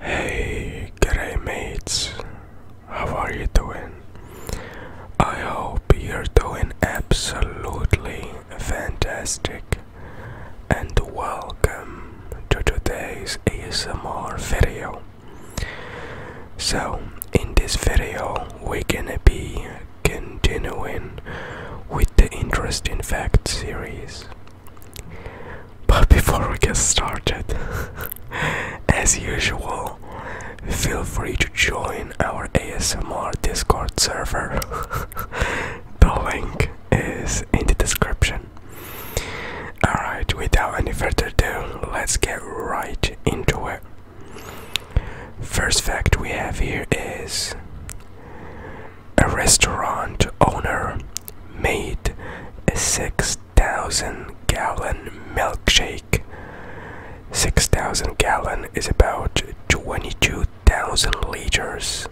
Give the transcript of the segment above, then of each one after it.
Hey, g'day mates, how are you doing? I hope you're doing absolutely fantastic and welcome to today's ASMR video. So, in this video, we're gonna be continuing with the interesting fact series. But before we get started, as usual, feel free to join our ASMR Discord server. the link is in the description. Alright, without any further ado, let's get right into it. First fact we have here is a restaurant owner made a 6,000 gallon milkshake. 6,000 gallon is about 22,000 liters.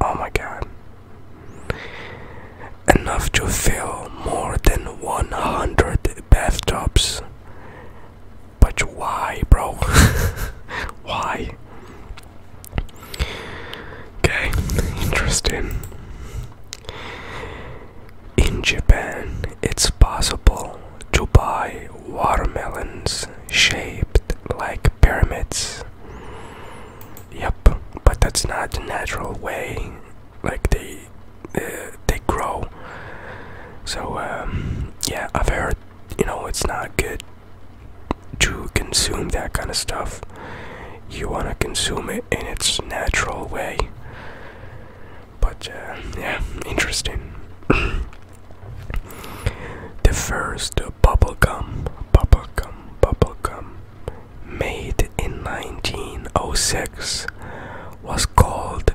Oh my god. Enough to fill more than 100 bathtubs. But why, bro? why? Okay, interesting. In Japan, it's possible to buy watermelons shaped like pyramids. Yep, but that's not the natural way. Like they uh, they grow. So um, yeah, I've heard you know it's not good to consume that kind of stuff. You want to consume it in its natural way. But uh, yeah, interesting. the first bubblegum, bubblegum, bubblegum, made in 1906 was called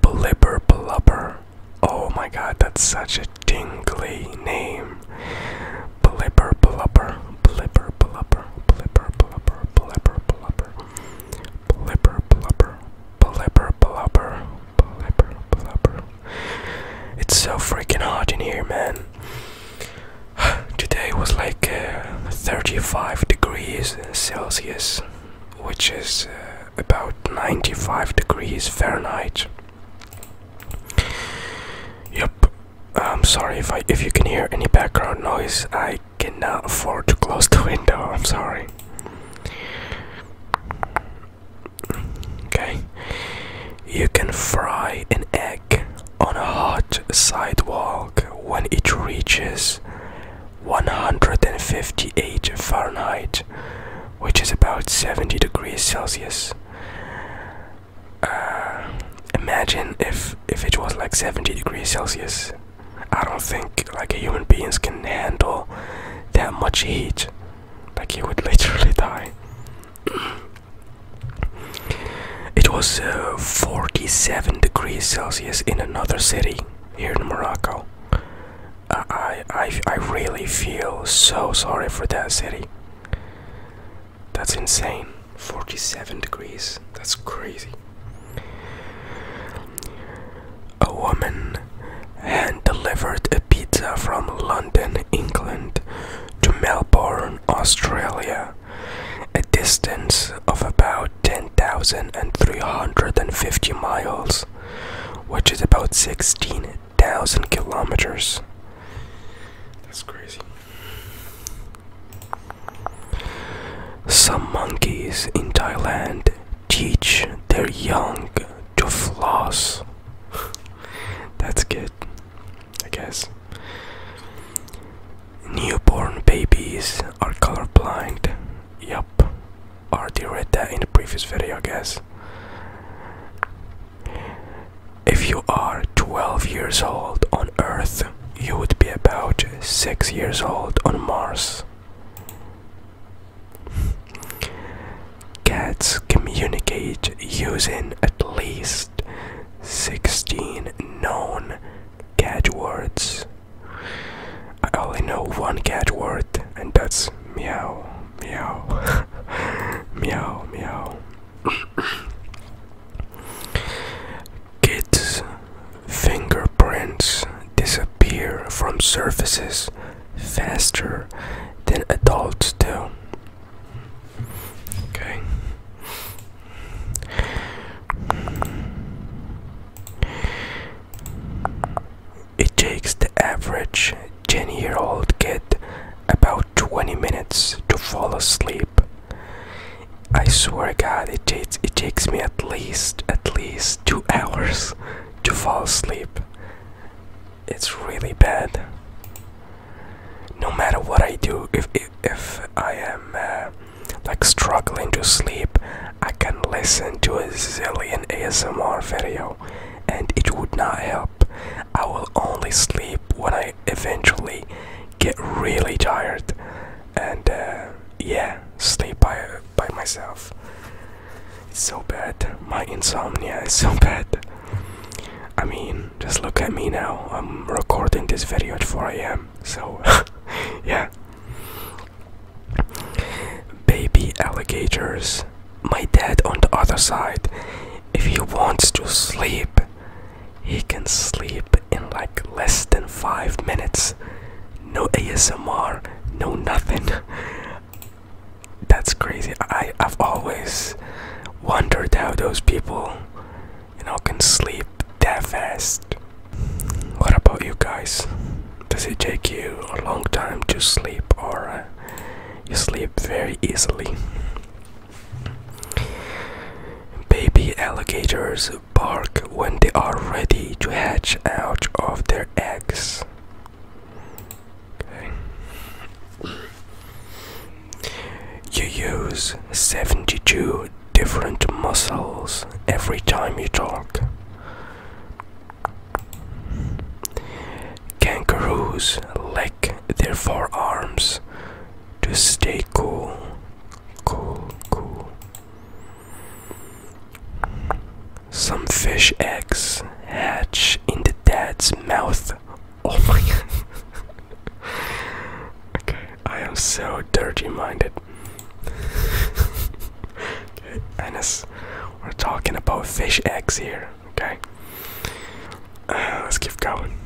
Blibber Blubber. Oh my god, that's such a dingly name. Blipper, blubber, blipper, blubber, blipper, blubber, blipper, blubber, blipper, blubber, blipper, blubber, blipper, blubber. It's so freaking hot in here, man. Today was like uh, 35 degrees Celsius, which is uh, about 95 degrees Fahrenheit. Yep, I'm sorry if I if you can hear any background noise. I cannot afford to close the window. I'm sorry. Okay. You can fry an egg on a hot sidewalk when it reaches 158 Fahrenheit, which is about 70 degrees Celsius. Uh, imagine if if it was like 70 degrees Celsius. I don't think like a human beings can handle that much heat. Like he would literally die. it was uh, 47 degrees Celsius in another city here in Morocco. Uh, I I I really feel so sorry for that city. That's insane. 47 degrees. That's crazy. A woman hand delivered a pizza from London, England to Melbourne, Australia, a distance of about 10,350 miles, which is about 16,000 kilometers. That's crazy. Some monkeys in Thailand teach their young to floss. That's good, I guess. Newborn babies are colorblind. Yup. Already read that in the previous video, I guess. If you are 12 years old on Earth, you would be about 6 years old on Mars. Cats communicate using at least 16 known cat words. I only know one cat word, and that's meow, meow, meow, meow. Kids' fingerprints disappear from surfaces faster than adults do. Okay. It takes the average 10 year old kid about 20 minutes to fall asleep. I swear God, it takes it takes me at least at least two hours to fall asleep. It's really bad. No matter what I do, if if, I am uh, like struggling to sleep, I can listen to a zillion ASMR video, and it would not help. I will only sleep when I eventually get really tired and uh, yeah, sleep by by myself. It's so bad. My insomnia is so bad. I mean, just look at me now. I'm recording this video at 4 a.m. So, yeah. Baby alligators. My dad on the other side. If he wants to sleep, he can sleep in like less than five minutes. No ASMR, no nothing. That's crazy. I, have always wondered how those people, you know, can sleep that fast. What about you guys? Does it take you a long time to sleep or uh, you sleep very easily? Baby alligators bark when they are ready to hatch out of their eggs. You use 72 different muscles every time you talk. Kangaroos leg check their forearms to stay cool. Cool, cool. Some fish eggs hatch in the dad's mouth. Oh my god. okay, I am so dirty minded. okay, Anis, we're talking about fish eggs here, okay? Uh, let's keep going.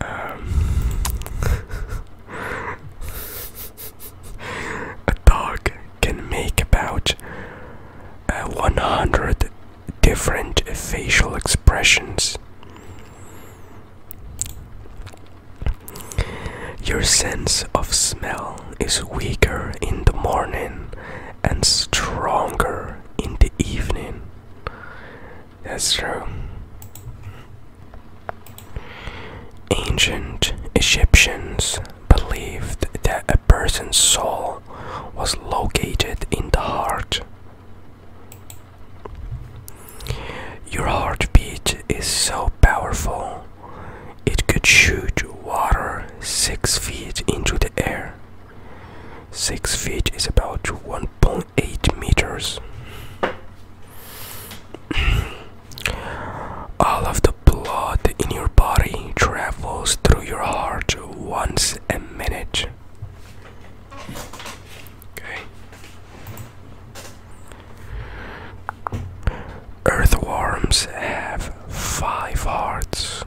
Um, a dog can make about uh, 100 different facial expressions. Your sense of smell is weaker in the morning and stronger in the evening. That's true. Ancient Egyptians believed that a person's soul was located in the heart. Your heartbeat is so powerful, it could shoot water six feet into the air. Six feet is about 1.8 meters. All of the blood in your body travels through your heart once a minute. Okay. Earthworms have five hearts.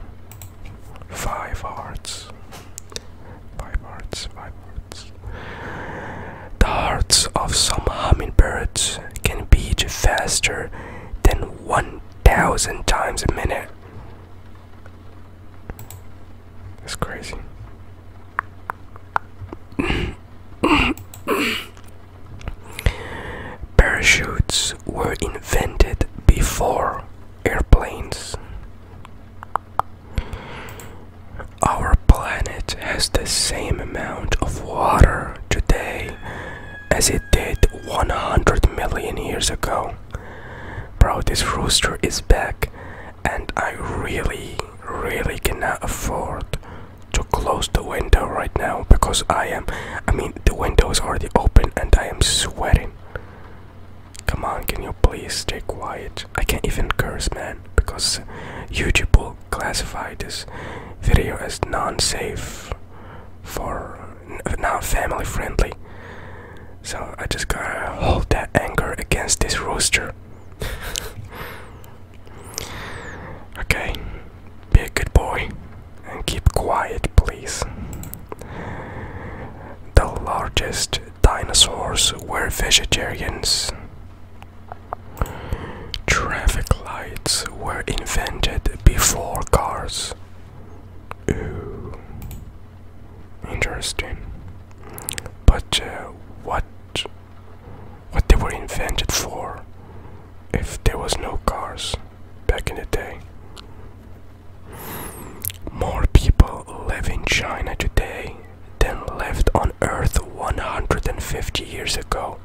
Five hearts. Five hearts, five hearts. The hearts of some hummingbirds can beat faster than 1,000 times a minute. That's crazy. Parachutes were invented before airplanes. Our planet has the same amount of water today as it did 100 million years ago. Bro, this rooster is back, and I really, really cannot afford to close the window right now because I am. I mean, the window is already open and I am sweating. Come on, can you please stay quiet? I can't even curse, man, because YouTube will classify this video as non-safe for not family friendly. So I just gotta hold that anger against this rooster. okay, be a good boy and keep quiet, please. The largest dinosaurs were vegetarians. Traffic lights were invented before cars. Ooh. Interesting. But uh, what what they were invented for if there was no cars back in the day? More people live in China today than lived on Earth 150 years ago.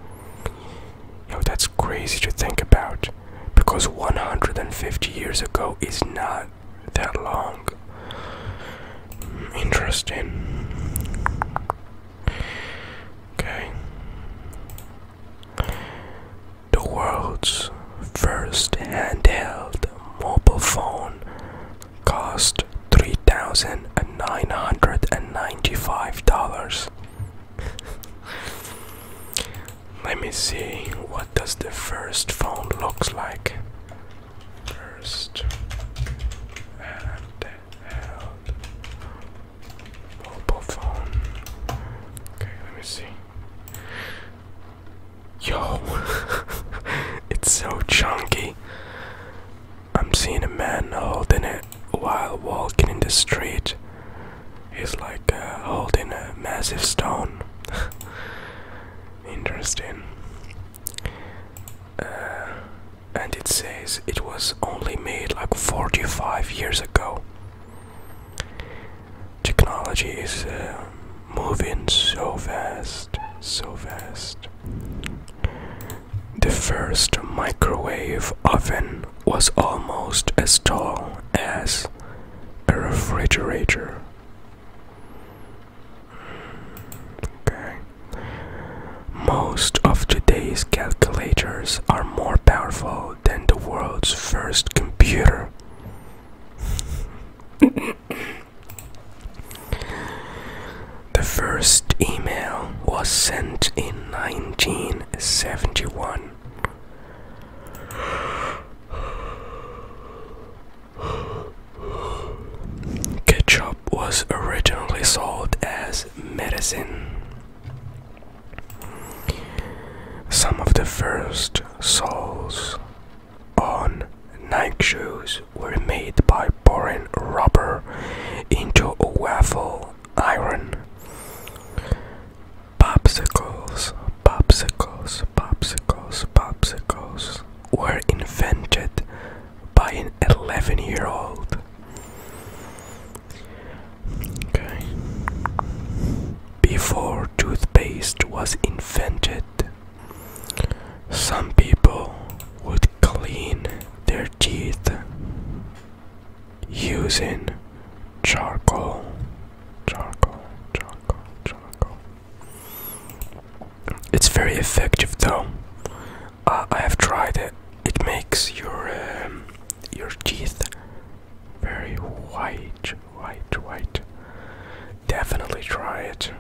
Yo, that's crazy to think about because 150 years ago is not that long. Interesting. Okay. The world's first handheld mobile phone cost $3,995. Let me see what does the first phone looks like. First handheld mobile phone. Okay, let me see. Yo, it's so chunky. I'm seeing a man holding it while walking in the street. He's like uh, holding a massive stone. Interesting. Uh, and it says it was only made like 45 years ago. Technology is uh, moving so fast, so fast. The first microwave oven was almost as tall as a refrigerator. Okay. Most of today's calculators are more powerful than the world's first computer. The first email was sent in 1971. Ketchup was originally sold as medicine. Some of the first souls on Nike shoes were made by pouring rubber into a waffle iron. Popsicles, popsicles, popsicles, popsicles were invented by an 11 year old. Before toothpaste was invented, some people would clean their teeth using charcoal, charcoal, charcoal, charcoal. It's very effective though. Uh, I have tried it. It makes your um, your teeth very white. Right, right. Definitely try it.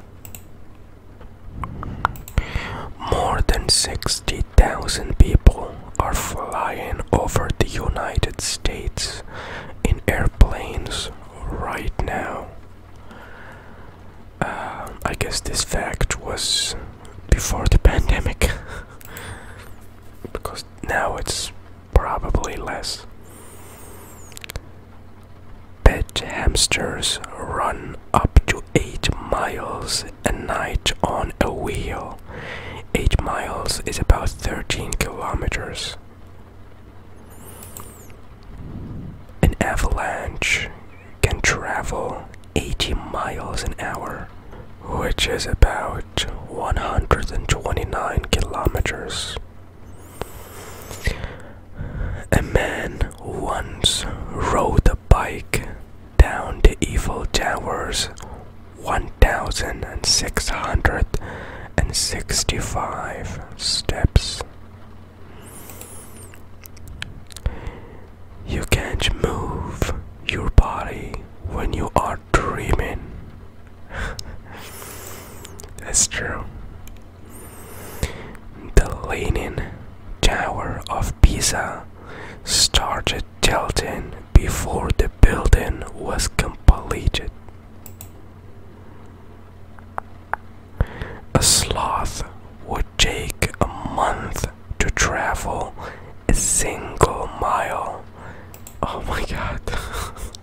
More than 60,000 people are flying over the United States in airplanes right now. Uh, I guess this fact was before the pandemic because now it's probably less. Pet hamsters run up to 8 miles a night on a wheel. 8 miles is about 13 kilometers. An avalanche can travel 80 miles an hour, which is about 129 kilometers. A man once rode a bike down the Evil Towers 1665 steps. You can't move your body when you are dreaming. That's true. The Leaning Tower of Pisa started tilting before the building was completed. A sloth would take a month to travel a single mile. Oh my god.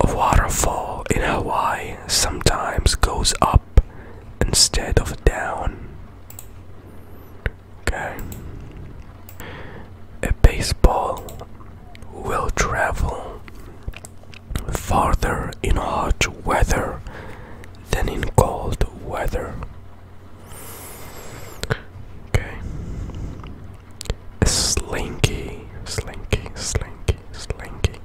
A waterfall in Hawaii sometimes goes up instead of down. Okay. A baseball will travel farther in hot weather than in cold weather. Okay slinky, slinky, slinky, slinky,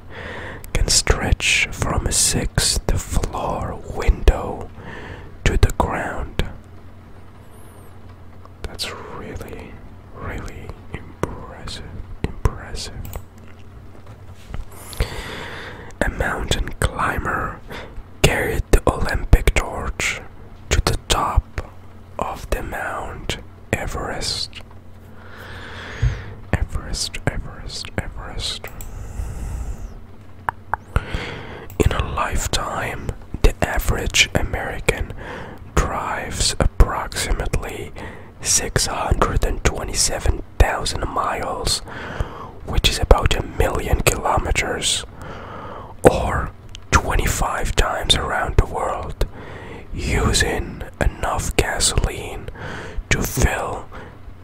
can stretch from a sixth floor window to the ground. That's really, really impressive. Impressive. A mountain climber carried the Olympic torch to the top of the mount. Everest. Everest, Everest, Everest. In a lifetime, the average American drives approximately 627,000 miles, which is about a million kilometers, or 25 times around the world, using enough gasoline to fill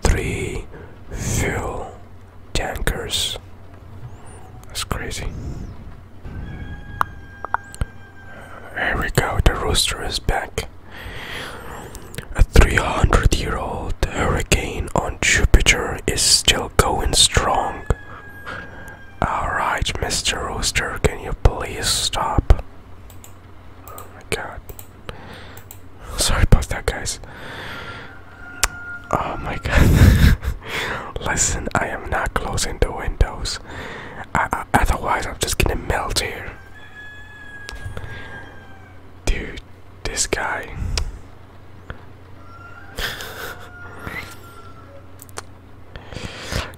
three fuel tankers. That's crazy. Here we go, the rooster is back. A 300 year old hurricane on Jupiter is still going strong. Alright, Mr. Rooster, can you please stop? Oh my god. Sorry about that, guys. Oh my god. Listen, I am not closing the windows. I, otherwise, I'm just gonna melt here. Dude, this guy.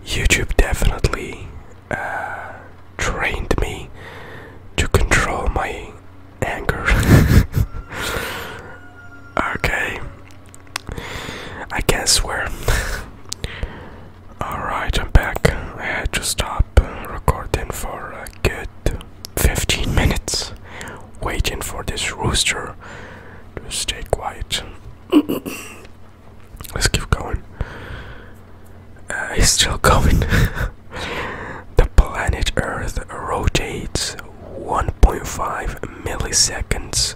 YouTube definitely uh, trained me to control my anger. okay, I can't swear. Alright, I'm back. I had to stop recording for a good 15 minutes waiting for this rooster to stay quiet. Let's keep going. Uh, it's still going. the planet Earth rotates 1.5 milliseconds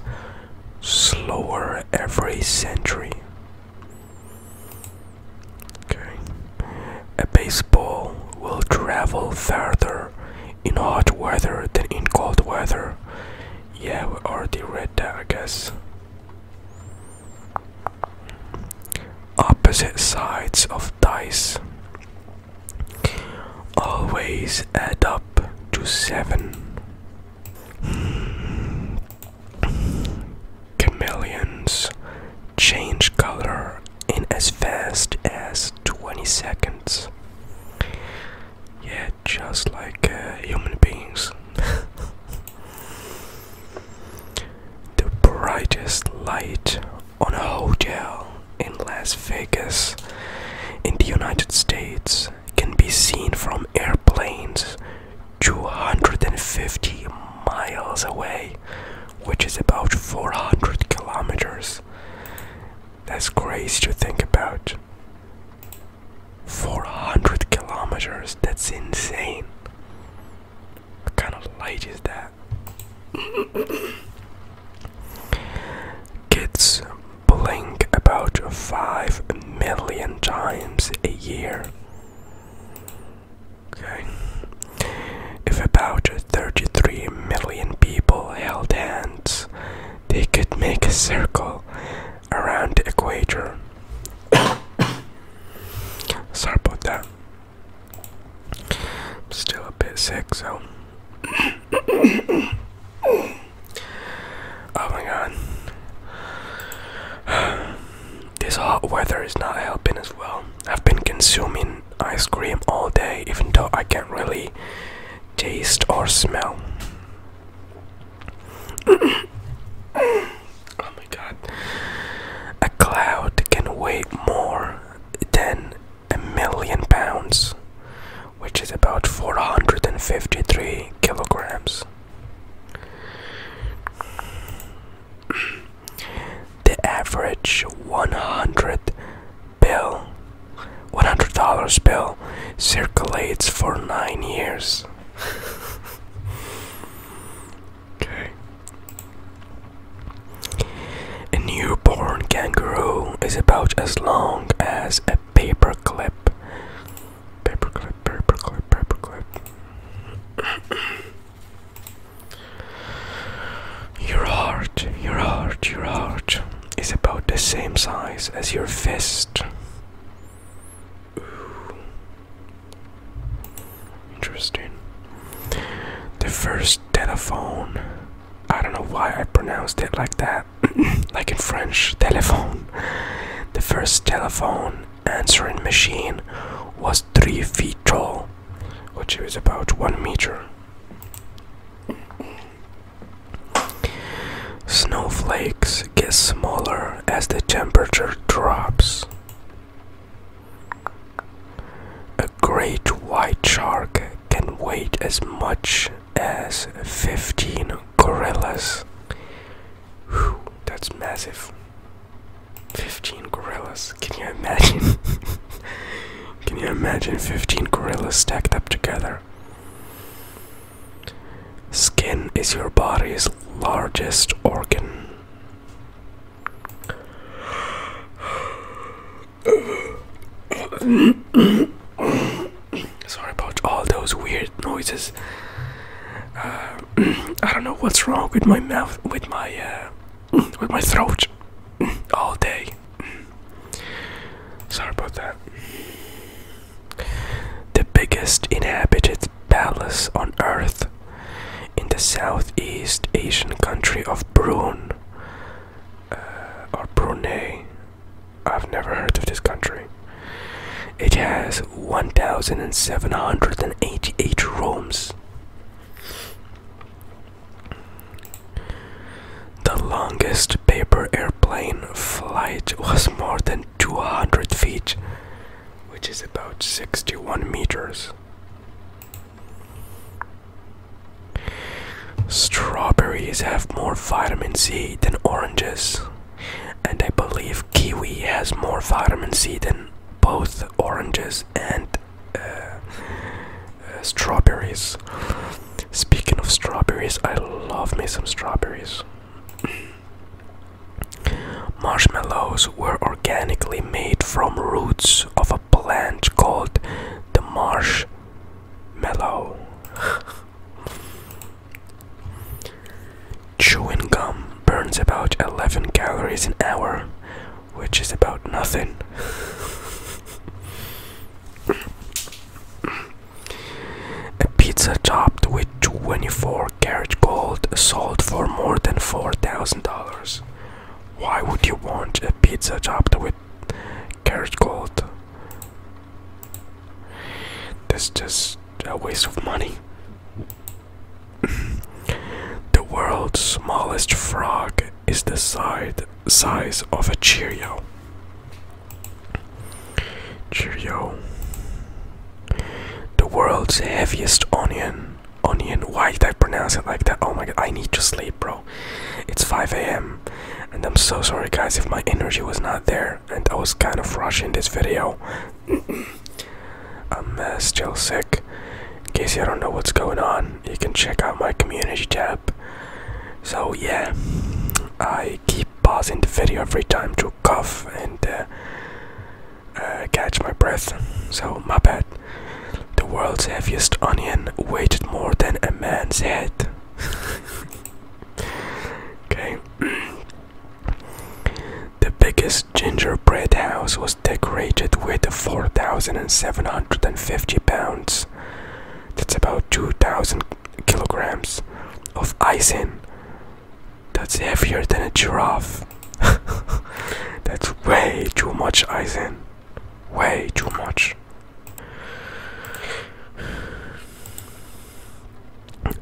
slower every century. Okay. A baseball will travel further in hot weather than in cold weather. Yeah, we already read head down, Opposite sides of dice always add up to seven. Chameleons change color in as fast as 20 seconds. Yeah, just like uh, human beings. the brightest light on a hotel in Las Vegas in the United States can be seen from airplanes 250 miles away, which is about 400 kilometers. That's crazy to think about. 400 kilometers. That's insane. What kind of light is that? Kids blink about 5 million times a year. Okay. If about 33 million people held hands, they could make a circle around the equator. Sorry about that. still a bit sick, so. oh my god. This hot weather is not helping as well. I've been consuming ice cream all day, even though I can't really taste or smell. oh my god. A cloud can weigh more than a million pounds, which is about 453 kilograms. The average 100 bill $100 bill circulates for nine years. okay. A newborn kangaroo is about as long as a paperclip. Paperclip, paperclip, paperclip. your heart, your heart, your heart is about the same size as your fist. Interesting. The first telephone. I don't know why I pronounced it like that. like in French, telephone. The first telephone answering machine was three feet tall, which is about one meter. Snowflakes get smaller as the temperature drops. A great white shark can weigh as much as 15 gorillas. that's massive. 15 gorillas. Can you imagine? Can you imagine 15 gorillas stacked up together? Skin is your body's largest organ. Sorry about all those weird noises. Uh, I don't know what's wrong with my mouth, with my, uh, with my throat, all day. Sorry about that the biggest inhabited palace on earth in the Southeast Asian country of Brunei uh, or Brunei. I've never heard of this country. It has 1,788 rooms. The longest paper airplane flight was more than Two hundred feet, which is about 61 meters. Strawberries have more vitamin C than oranges, and I believe kiwi has more vitamin C than both oranges and uh, uh, strawberries. Speaking of strawberries, I love me some strawberries. Marshmallows were organically made from roots of a plant called the marshmallow. Chewing gum burns about 11 calories an hour, which is about nothing. A pizza topped with 24 karat gold sold for more than $4,000. Why would you want a pizza topped with karat gold? That's just a waste of money. the world's smallest frog is the side size of a Cheerio. Cheerio. The world's heaviest onion. Onion. Why did I pronounce it like that? Oh my god, I need to sleep, bro. It's 5 a.m. And I'm so sorry, guys, if my energy was not there and I was kind of rushing this video. I'm uh, still sick. In case you don't know what's going on, you can check out my community tab. So, yeah, I keep pausing the video every time to cough and uh, uh, catch my breath. So, my bad. The world's heaviest onion weighed more than a man's head. okay. the biggest gingerbread house was decorated with 4,750 pounds. That's about 2,000 kilograms of icing that's heavier than a giraffe. That's way too much Aizen. Way too much.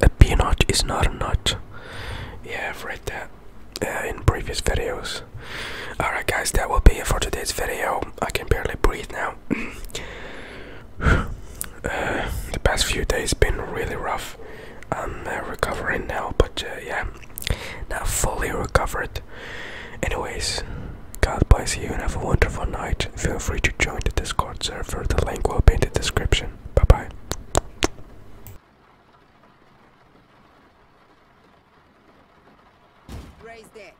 A peanut is not a nut. Yeah, I've read that uh, in previous videos. Alright, guys, that will be it for today's video. I can barely breathe now. Uh, the past few days been really rough. I'm uh, recovering now, but uh, yeah, not fully recovered. Anyways, God bless you and have a wonderful night. Feel free to join the Discord server. The link will be in the description. Bye bye. Raise that.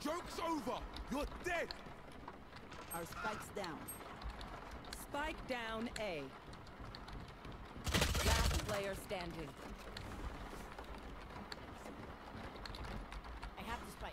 Joke's over! You're dead! Our spike's down. Spike down A. Last player standing. I have the spike.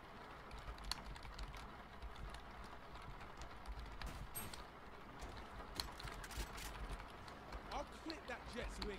I'll clip that Jets wings.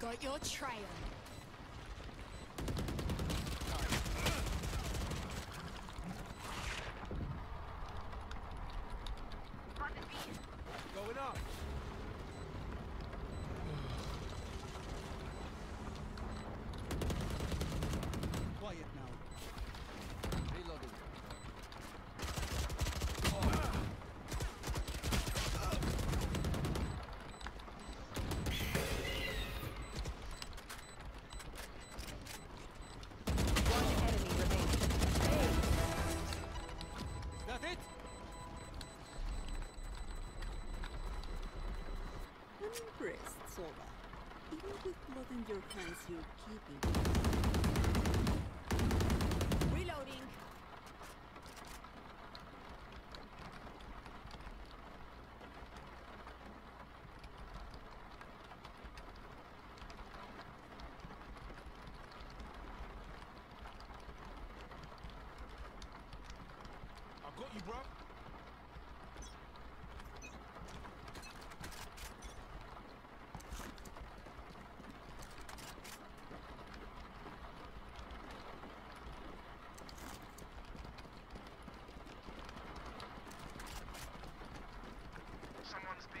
got your trail. Got the beast. Going up. Quiet now. Reloading. One enemy remaining. Hey. Is that it? I'm impressed, Sova. Even with blood in your hands, you're keeping. Reloading! I got you, bro. Someone's B.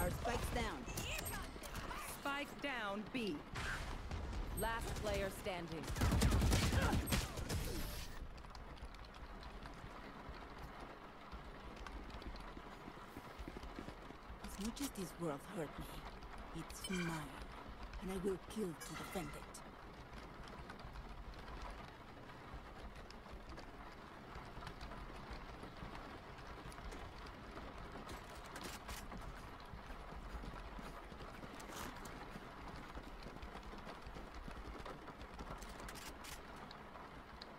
Our spike's down. Spike down, B. Last player standing. As much as this world hurt me, it's mine, and I will kill to defend it.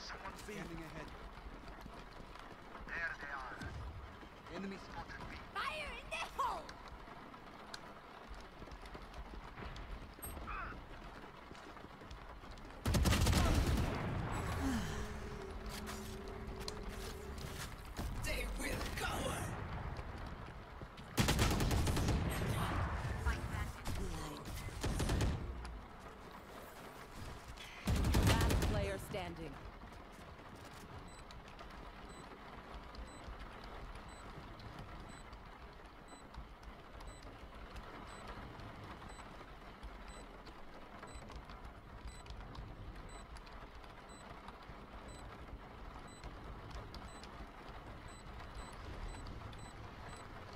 Someone standing ahead. There they are. Enemy spotted. Fire in the hole! Last player standing.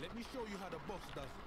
Let me show you how the boss does it.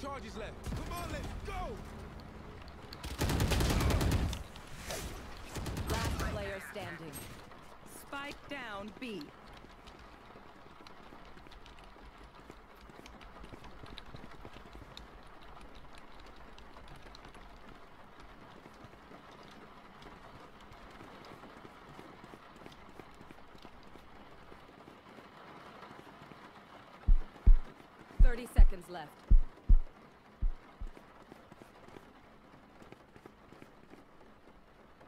charges left. Come on, let's go! Last player standing. Spike down, B. 30 seconds left.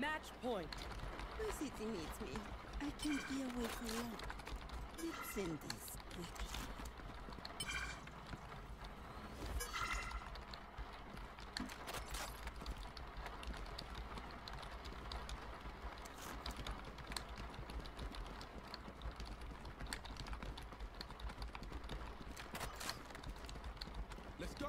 Match point. My city needs me. I can't be away for long. Let's end this Let's go!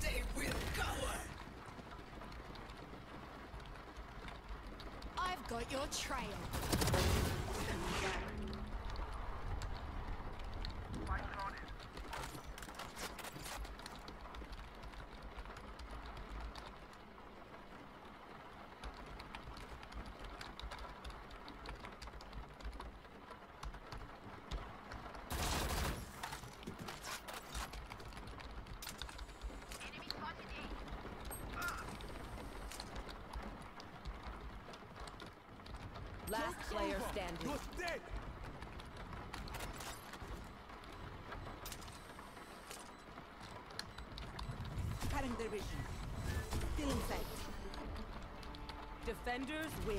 They will cower! I've got your trail. Last player standing. You're dead. Cutting their vision. Still in sight. Defenders win.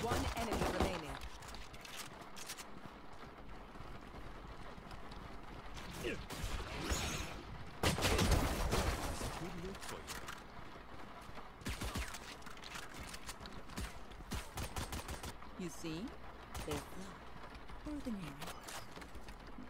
One enemy remaining. You see? They're ordinary.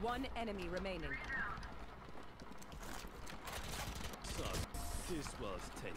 One enemy remaining. So, this was taken.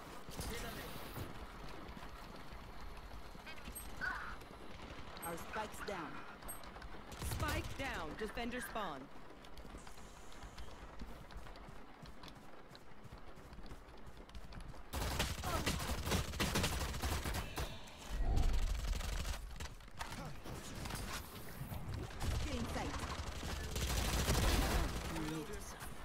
Our spike's down. Spike down. Defender spawn. Getting sight.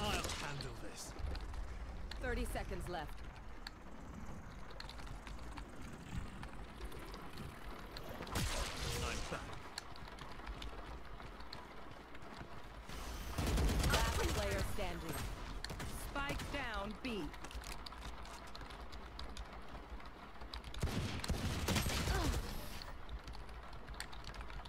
I'll handle this. 30 seconds left. Last player standing. Spike down B.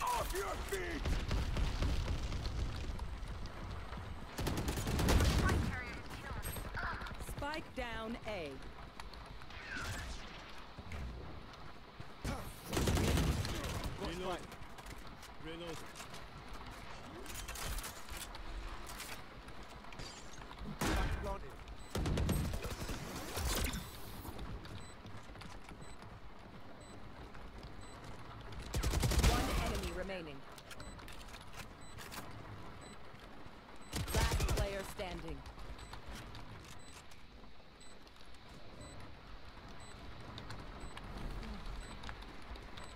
Off your feet! Spike down A. Reload. Reload. Planted. One enemy remaining. Last player standing.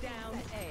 down A.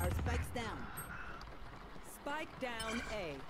Our spike's down. Spike down A.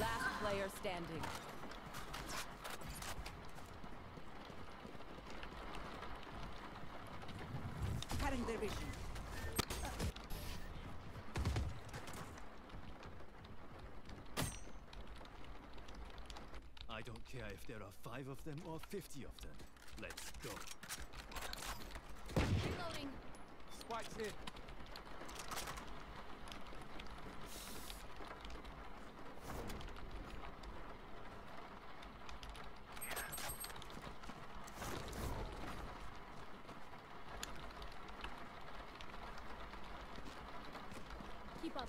Last player standing. Cutting their I don't care if there are five of them or fifty. 50 of them. Let's go. Reloading. Spikes here. Keep up.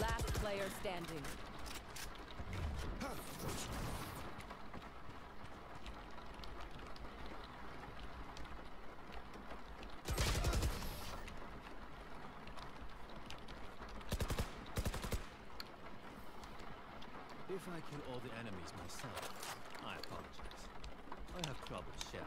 Last player standing. If I kill all the enemies myself, I apologize. I have trouble sharing.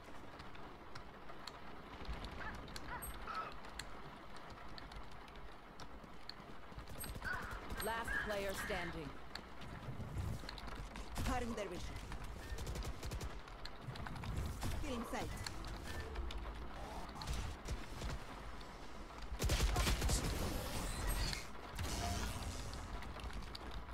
Last player standing. Harun Dervish. Killing sight.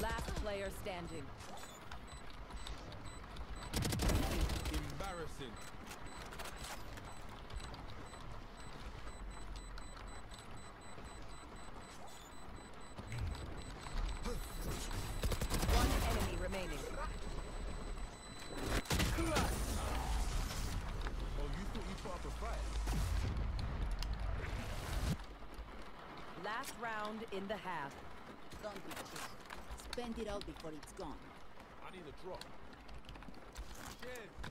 Last player standing. Embarrassing. One enemy remaining. Last round in the half. Don't be cheap. Spend it all before it's gone. I need a drop. Shit.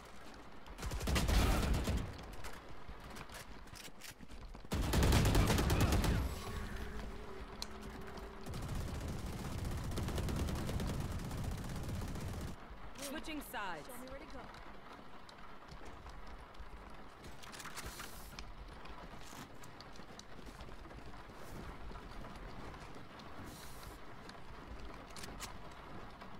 Switching sides. Show me where to go.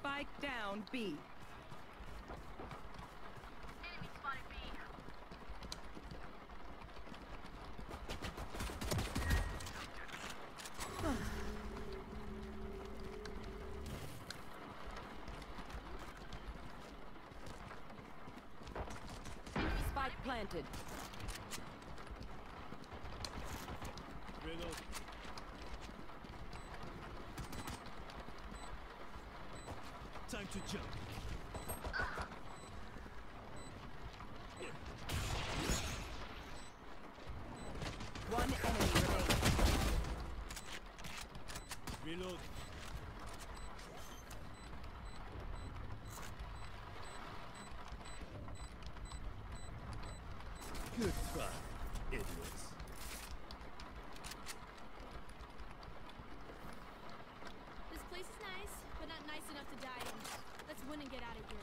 Spike down B. Enemy spotted B. Spike planted. Middle. Time to jump. One enemy remaining. Reload. Good try, idiots. This place is nice, but not nice enough to die in. Let's win and get out of here.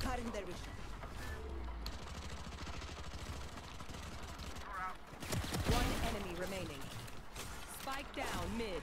Cutting their vision. One enemy remaining. Spike down mid.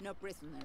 No prisoners.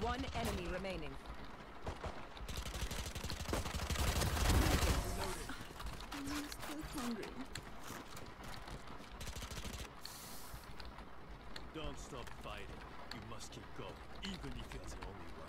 One enemy remaining. I'm still hungry. Don't stop fighting. You must keep going, even if you're the only one.